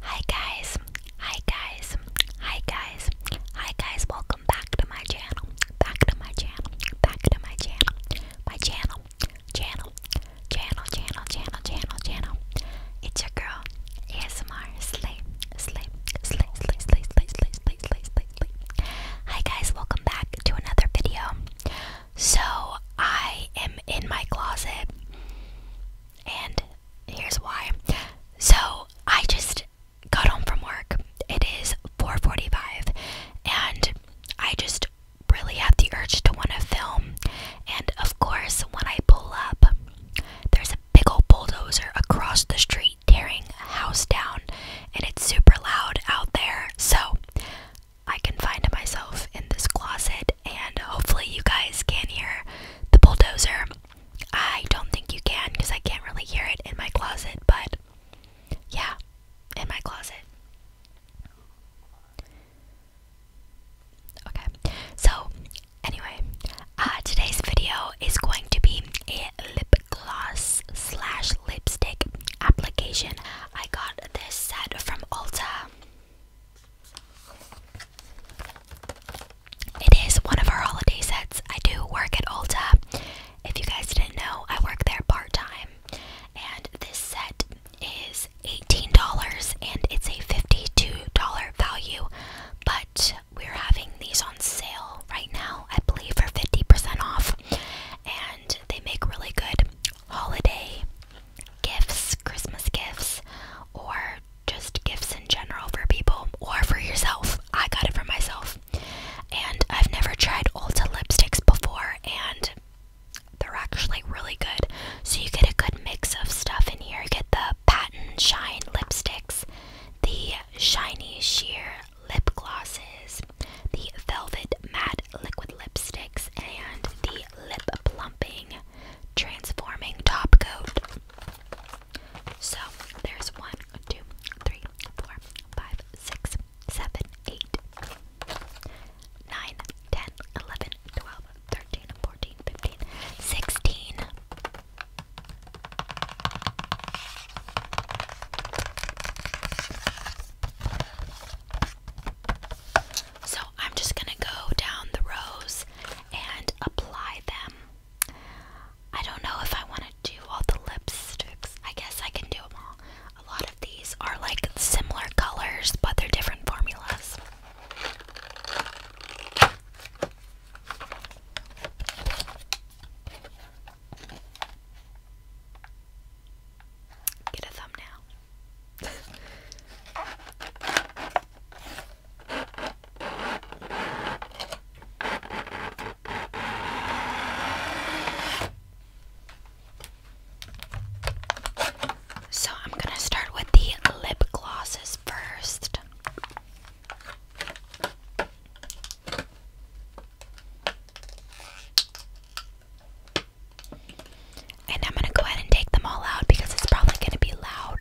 Hi guys, hi guys, hi guys, hi guys, welcome back to my channel, back to my channel, back to my channel, my channel, channel, channel, channel, channel, channel, channel. It's your girl, ASMR Slay, Slay, Slay, Slay, Slay, Slay, Slay, Slay, Slay, Slay, Slay. Hi guys, welcome back to another video. So I am in my closet and here's why. So I just got home from work. It is 4:45, and I just really had the urge to want to film. And of course, when I pull up, there's a big old bulldozer across the street tearing a house down, and it's super loud out there. So I confined myself in this closet, and hopefully, you guys can hear the bulldozer. I don't think you can because I can't really hear it in my closet, but yeah, in my closet. Okay, so anyway, uh, today's video is going to be a lip gloss slash lipstick application. I got this set from Ulta. It is one of our holiday sets. I do work at Ulta. If you guys didn't know, I work there part time. And this set is $18 and it's a $52 value. But we're having these on sale right now, I believe, for 50% off. And they make really good holiday gifts, Christmas gifts, or just gifts in general for people or for yourself. I got it for myself. And I've never tried Ulta lipsticks before, and they're actually really good. So you get a good mix of stuff in here. You get the Patent Shine lipsticks, the Shiny Sheer lip glosses, the Velvet Matte liquid lipsticks, and the Lip Plumping transforming top coat. So there's one, two, three, four, five, six, seven, eight, nine, ten, eleven, twelve, thirteen, fourteen, fifteen, sixteen. So I'm just gonna go down the rows and apply them. I don't know if I want to do all the lipsticks. I guess I can do them all. A lot of these are like similar colors, but they're different formulas. Get a thumbnail so I'm going to start with the lip glosses first. And I'm gonna go ahead and take them all out because it's probably gonna be loud.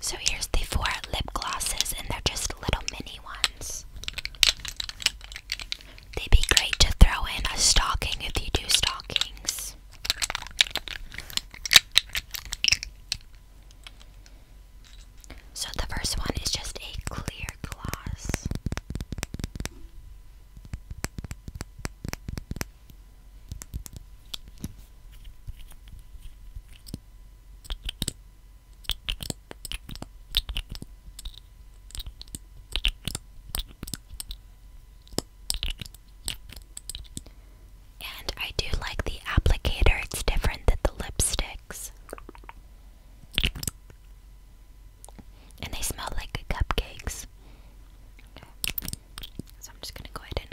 So here's the four lip glosses, and they're just little mini ones. They'd be great to throw in a stocking if you do stockings. So the first one is just a clear gloss. And I do like the applicator, it's different than the lipsticks. And they smell like cupcakes. So I'm just gonna go ahead and.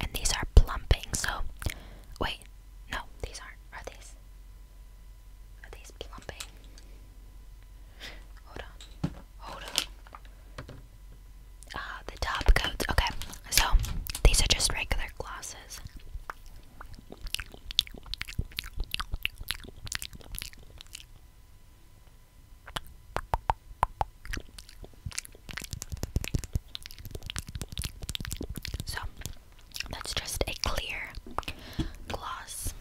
And these are plumping, so wait, no, these aren't. Are these? Are these plumping? Hold on. Hold on. Ah, the top coats. Okay, so these are just regular glosses. So that's just a clear gloss.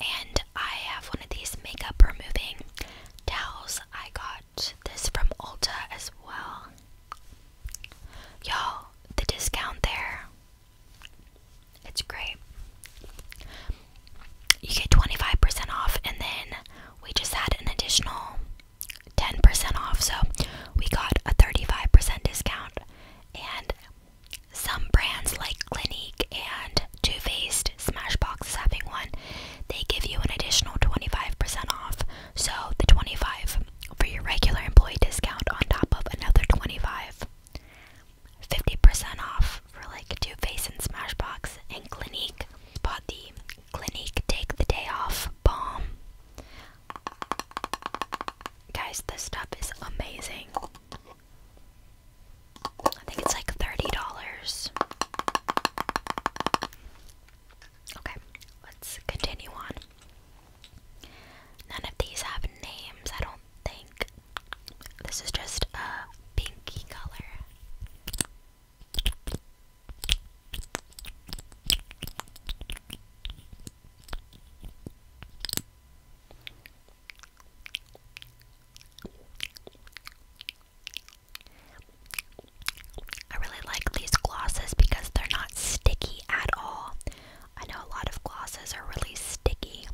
And I have one of these makeup removing towels. I got this from Ulta as well. Y'all, the discount there it's great. You get 25% off, and then we just had an additional 10% off, so we got a 35% discount. And some brands like Clinique and Too Faced, Smashbox having one, they give you an additional 25% off. So the 25 for your regular employee discount on top of another 25 50% off for like Too Faced and Smashbox and Clinique. Bought the Clinique Take the Day Off Balm. Guys, this stuff is amazing. I think it's like $30. Okay, let's continue on. None of these have names, I don't think. This is just a pinky color. I really like these glosses because they're not sticky at all, I know a lot of glosses are really sticky.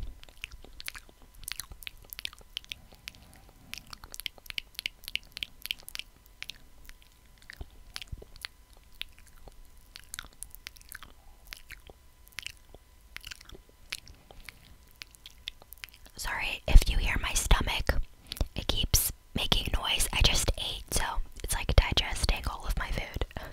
Sorry if you hear my stomach. It keeps making noise. I just ate, so it's like digesting all of my food.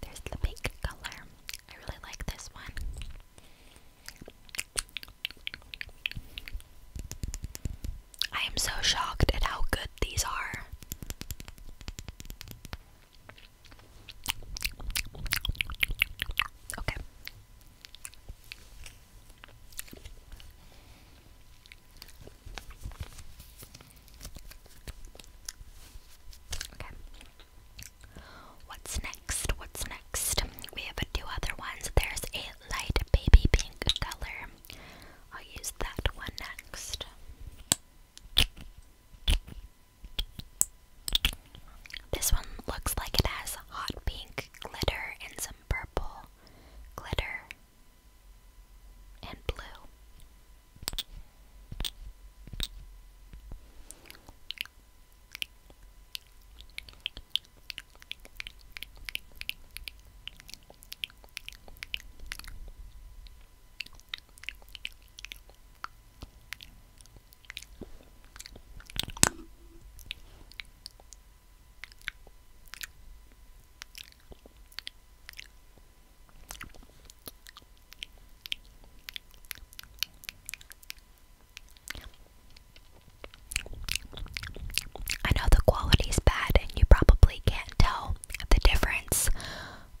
There's the pink color. I really like this one. I am so shocked at how good these are. Okay. What's next? What's next? We have two other ones. There's a light baby pink color. I'll use that one next. This one looks like it has hot pink glitter and some purple glitter and blue. I know the quality's bad, and you probably can't tell the difference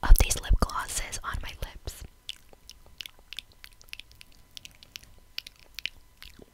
of these lip glosses on my lips.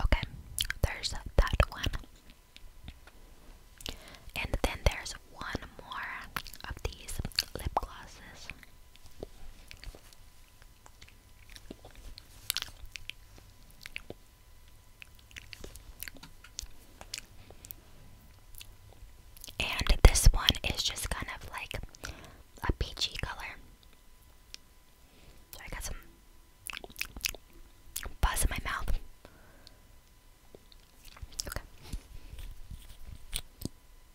Okay, there's that one. And then there's one more of these lip glosses. And this one is just kind of like a peachy color. I got some buzz in my mouth. Okay.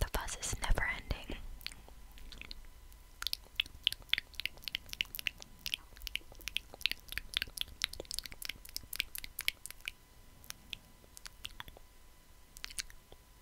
The buzz is never ending.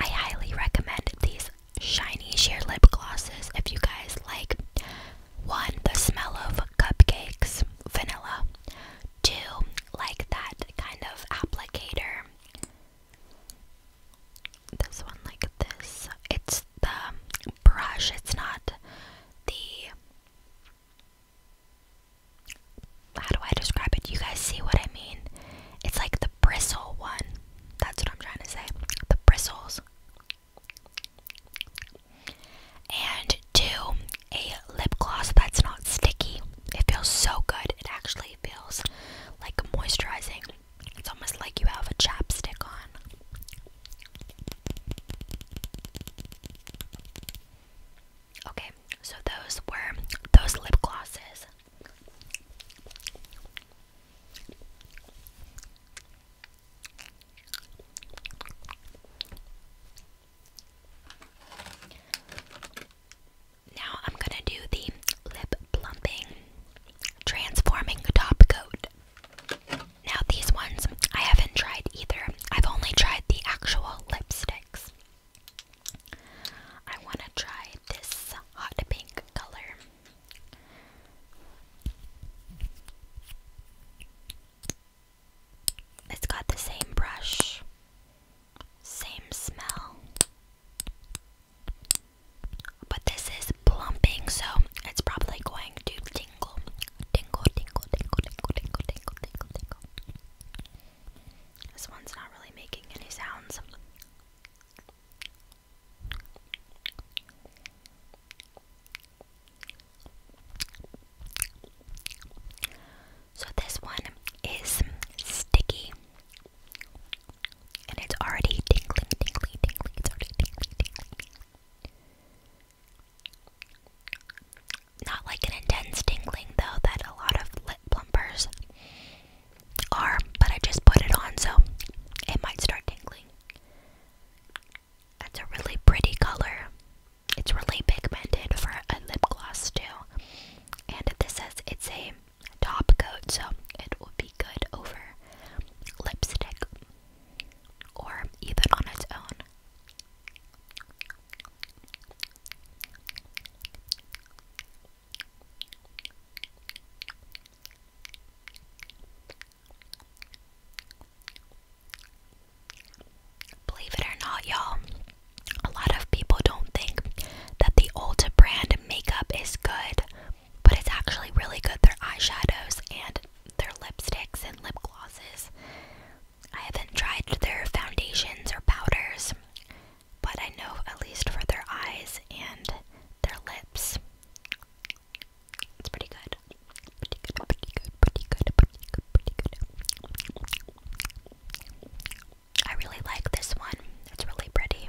I highly recommend these shiny sheer lip glosses if you guys like one, the smell of cupcakes, vanilla, two, like that kind of applicator this one like this. It's the brush. It's not the. How do I describe it? You guys see what I mean? It's like the bristle one. That's what I'm trying to say. The bristles. And two, a lip gloss that's not sticky. It feels so good. It actually feels like moisturizing. It's almost like you have a chapstick on. Okay, so those were those lip glosses. Now I'm going to do the lip plumping transforming top coat. Now, these ones I haven't tried either. I've only tried the actual lipsticks. I want to try this hot pink color. It's got the same brush, same smell. But this is plumping, so it's probably going to tingle. Tingle, tingle, tingle, tingle, tingle, tingle, tingle, tingle. This one's not really making any sounds. So this one is sticky. And it's already tingling, tingling, tingling. It's already tingly, tingly. Not like an intense tingling though that a lot of lip plumpers are, but I just put it on so it might start tingling. That's a really pretty color. It's really pigmented for a lip gloss too. And this says it's a top coat, so it will be good over lipstick or even on its own. Believe it or not, y'all, a lot of people don't think that the Ulta brand makeup is good, but it's actually really good. Their eyeshadows and their lipsticks and lip glosses. I haven't tried their foundations or powders, but I know at least for their eyes and their lips. It's pretty good. Pretty good, pretty good, pretty good, pretty good, pretty good. I really like this one. It's really pretty.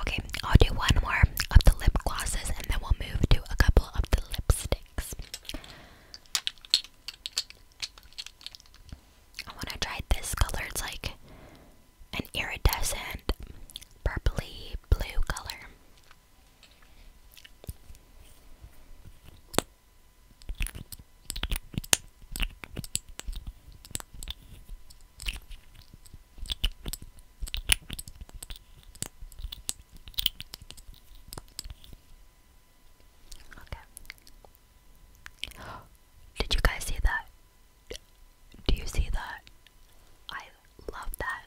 Okay, I'll do one more of the lip glosses and then we'll move to a couple of the lipsticks. I want to try this color. It's like an iridescent purpley blue color. Did you guys see that? Do you see that? I love that.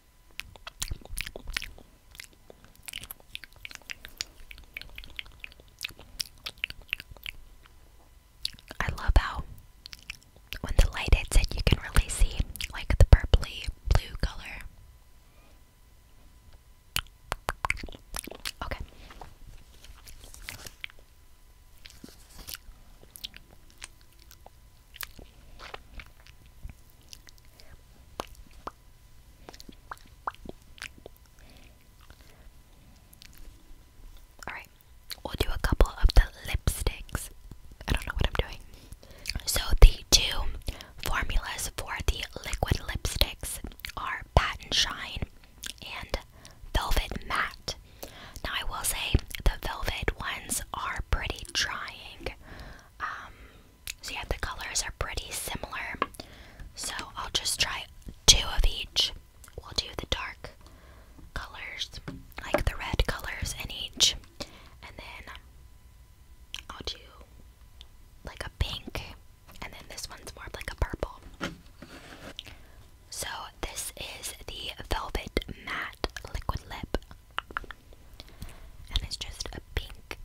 I love how when the light hits it, you can really see like the purpley blue color. Okay. Alright, we'll do a couple of the lipsticks. I don't know what I'm doing. So, the two formulas for the liquid lipsticks are patent Shine and Velvet Matte. Now, I will say the velvet ones are pretty trying. Um, so, yeah, the colors are pretty similar. So, I'll just try two of each. We'll do the dark colors, like the red colors in each, and then I'll do like a pink, and then this one's more of like a purple. So, this is the Velvet Matte Liquid Lip and it's just a pink.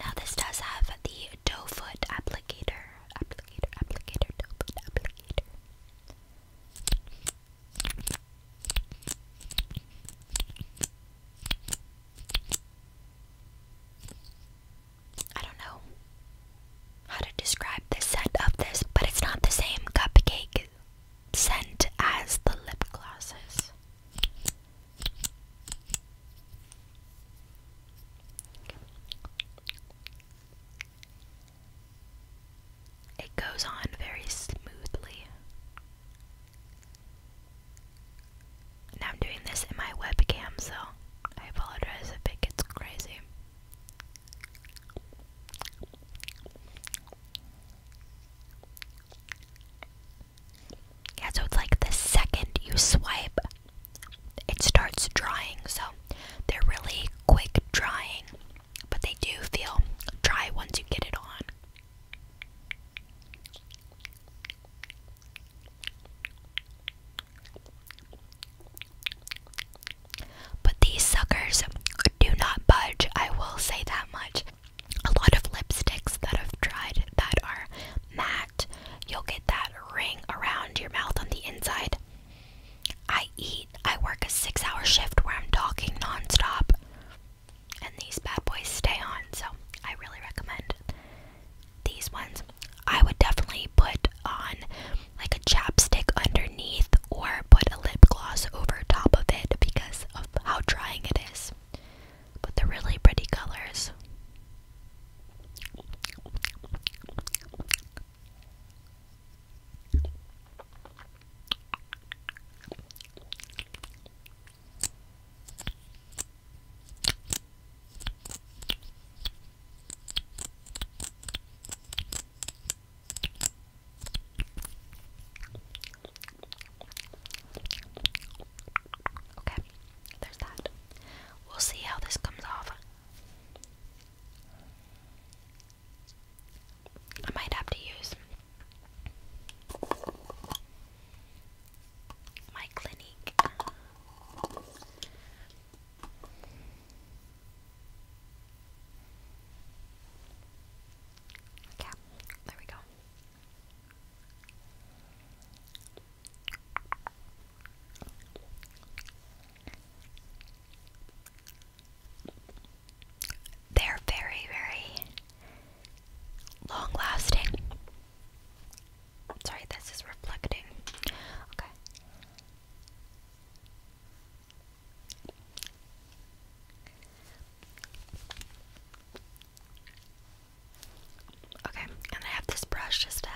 Now this does have the doe foot applicator. Applicator, applicator, doe foot applicator. I don't know how to describe the scent of this, but it's not the same cupcake scent as the lip glosses. It goes on very smoothly. Now I'm doing this in my webcam, so I apologize if it gets crazy. Yeah, so it's like the second you swipe, it starts drying. So they're really quick drying, but they do feel dry once you get it on. But these suckers do not budge, I will say that much. A lot of lipsticks that I've tried that are matte, you'll get that ring around your mouth on the inside. I eat, I work a six hour shift where I'm talking nonstop, and these bad boys stay on, so I really recommend these ones. I would definitely put on like a chapstick underneath or put a lip gloss over top of it because of how drying it is. But they're really pretty colors. Okay, there's that. We'll see how this comes off. I might have to use my clinique there we go. They're very, very long lasting. Sorry, this is reflecting. Okay. Okay, and I have this brush just to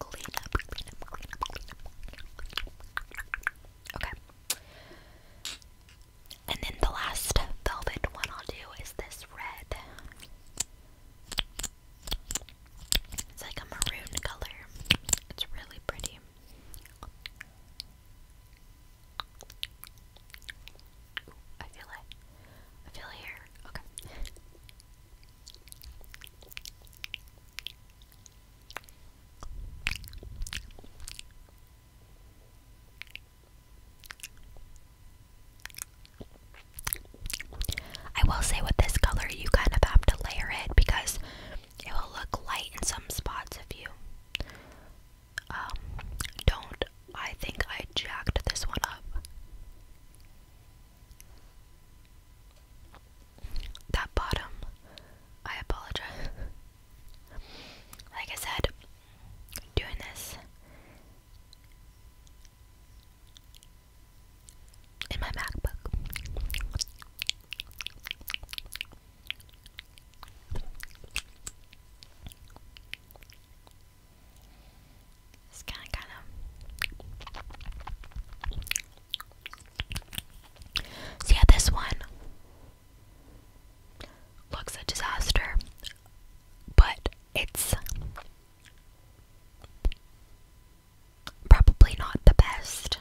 clean up, Okay. And then the last velvet one I'll do is this red. It's like a maroon color. It's really pretty. Ooh, I feel it. I feel it here. Okay. I will say with this color, you kind of have to layer it because it will look light in some spots if you um, don't. I think I jacked this one up. That bottom, I apologize. Like I said, doing this in my MacBook. It's kind of, kind of. See this one looks a disaster, but it's Probably not the best.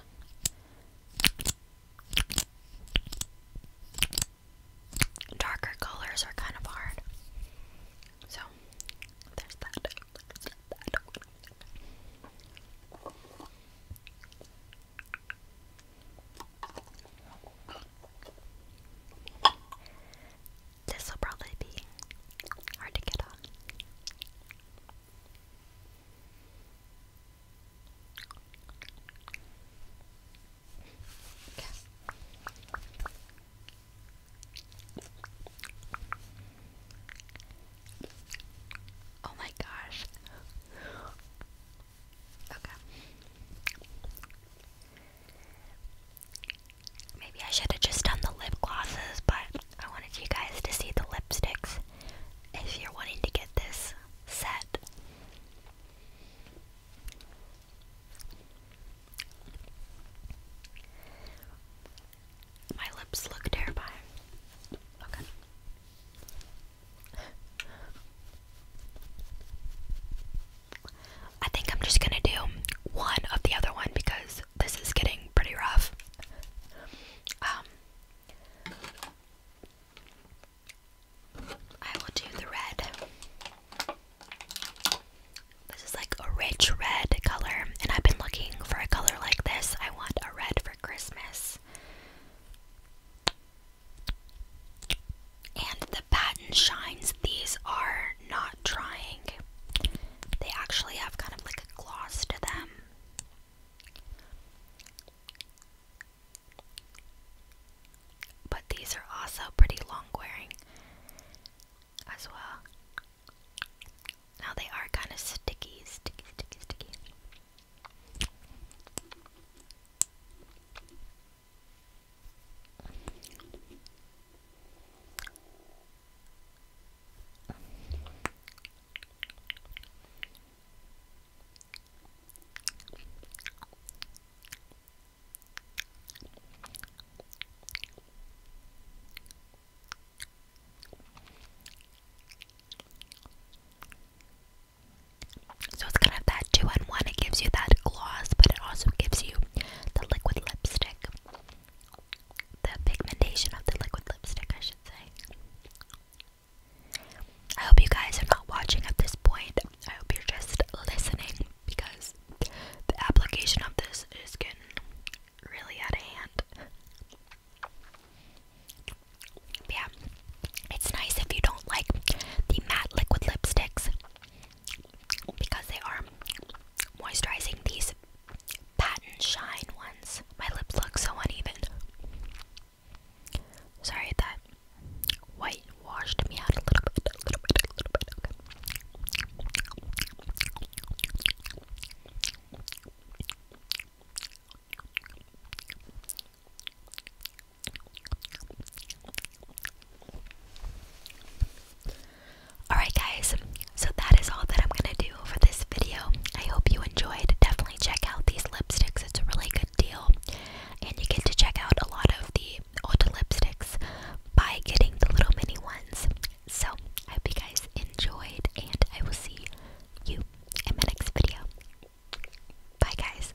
Darker colors are kind of hard. So, there's that. This will probably be hard to get off. Oh my gosh. Okay. Maybe I should have just done the lip glosses, but I wanted you guys to see the lipsticks if you're wanting to get this set. My lips look terrible. Okay. I think I'm just gonna do one of the other one because this is getting pretty rough. Um, I will do the red. This is like a rich red color, and I've been looking for a color like this. I want a red for Christmas patent shines, these are not drying. They actually have kind of like a gloss to them. But these are also pretty long wearing as well. Now they are kind of sticky, sticky, sticky, sticky. So it's kind of that two in one. It gives you that gloss, but it also gives you the liquid lipstick. The pigmentation of the liquid lipstick, I should say. I hope you guys are not watching at this point. I hope you're just listening because the application of this is getting really out of hand. yeah, it's nice if you don't like the matte liquid lipsticks because they are moisturizing these patent shine ones. My lips look so uneven. Sorry that white washed me out a little bit, a little bit, a little bit. Alright, guys, so that is all that I'm gonna do for this video. I hope you enjoyed. Definitely check out these lipsticks, it's a really good deal. And you get to check out a lot of the old lipsticks by getting the little mini ones. So, I hope you guys enjoyed, and I will see you in my next video. Bye, guys.